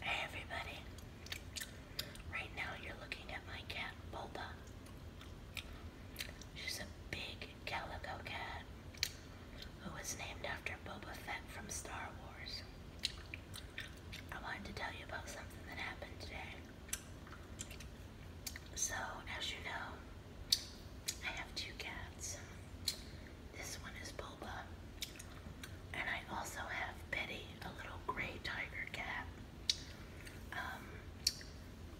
Hey everybody. Right now you're looking at my cat Boba. She's a big calico cat who was named after Boba Fett from Star Wars. I wanted to tell you about something that happened today. So, as you know, I have two cats. This one is Boba, and I also have Betty, a little gray tiger cat. Um,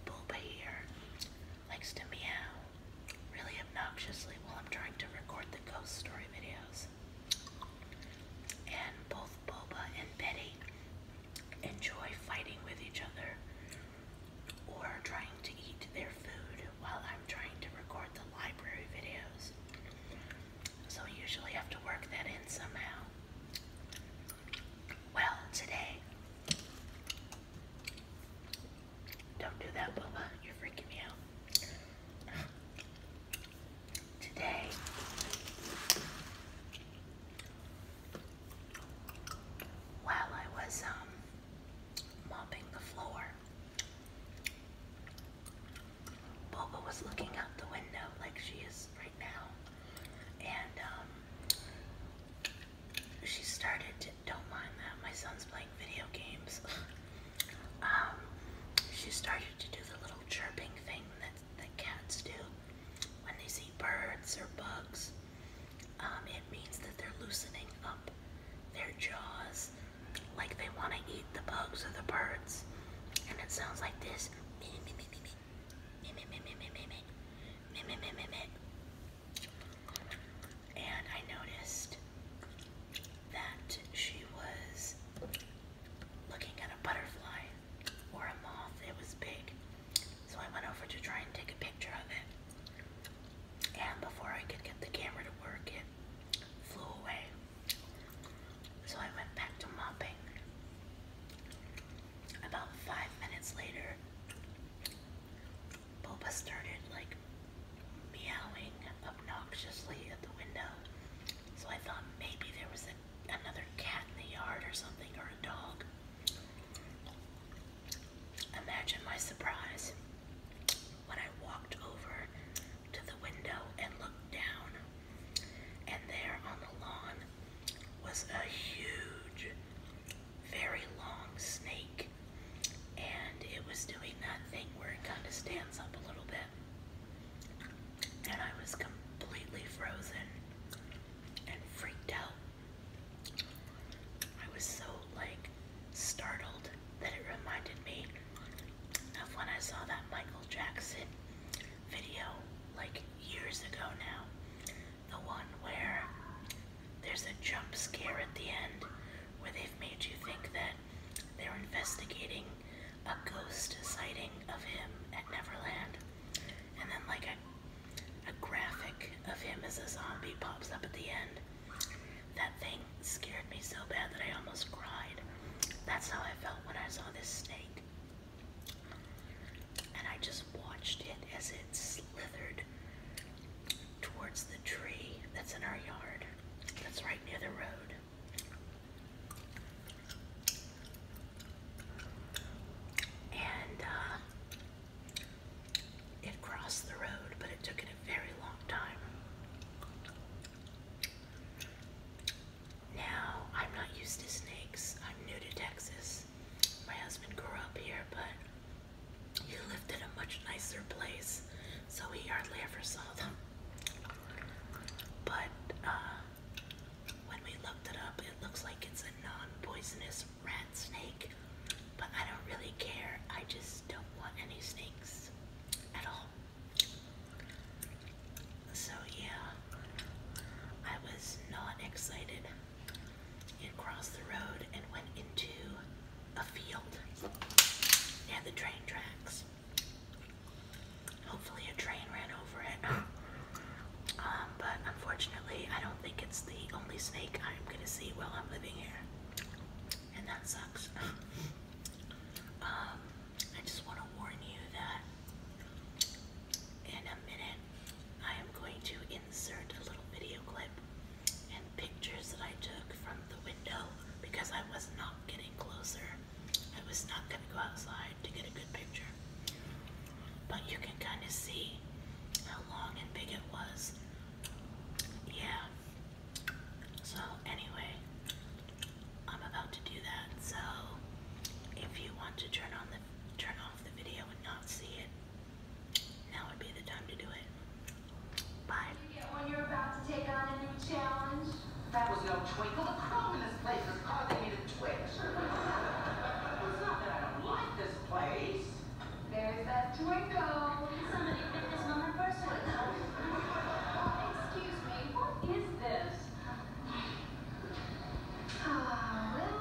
Boba here likes to meow really obnoxiously while I'm trying to record the ghost story videos. And both Boba and Betty enjoy fighting with each other or trying to eat their food while I'm trying to record the library videos. So I usually have to work that in somehow. Well, today, don't do that, Bubba, you're freaking me out. Today, while I was um, mopping the floor. Boba was looking out the window like she is right now, and um, she started to, don't mind that, my son's playing video games. Um, she started to do the little chirping thing that, that cats do when they see birds or bugs. Um, it means that they're loosening up their jaws like they want to eat the bugs or the birds. And it sounds like this. And I noticed that she was looking at a butterfly or a moth. It was big. So I went over to try and take a picture of it. And before I could get the camera to work, it flew away. So I went back to mopping. About five minutes later, Boba started like meowing obnoxiously at the window. So I thought maybe there was a another cat in the yard or something, or a dog. Imagine my surprise when I walked over to the window and looked down, and there on the lawn was a huge, very long snake, and it was doing that thing where it kind of stands up a little bit and I was completely frozen and freaked out. I was so like startled that it reminded me of when I saw that Michael Jackson video like years ago now. The one where there's a jump scare at the end where they've made you think that they're investigating a ghost sighting of him at Neverland, and then like a, a graphic of him as a zombie pops up at the end. That thing scared me so bad that I almost cried. That's how I felt when I saw this snake. And I just watched it as it slithered towards the tree that's in our yard, that's right near the road. And uh, it crossed the road, but it took it a very long time. Now, I'm not used to snakes. I'm new to Texas. My husband grew up here, but he lived in a much nicer place, so he hardly ever saw them. But uh, when we looked it up, it looks like it's a non-poisonous rat snake. But I don't really care. I just don't want any snakes at all. So yeah, I was not excited you crossed the road and went into a field near the train tracks. Hopefully, a train ran over it. Um, but unfortunately, I don't think it's the only snake I'm gonna see while I'm living here. And that sucks. Um, I just want to warn you that in a minute I am going to insert a little video clip and pictures that I took from the window because I was not getting closer. I was not going to go outside to get a good picture. But you can kind of see how long and big it was. Yeah. So, anyway, I'm about to do that. So, if you want to turn on the turn off the video and not see it, now would be the time to do it. Bye. When you're about to take on a new challenge, that was no twinkle. The crumb in this place is causing me to twitch. it's not that I don't like this place. There's that twinkle. Somebody pick this one up first. Excuse me, what is this? Ah, well,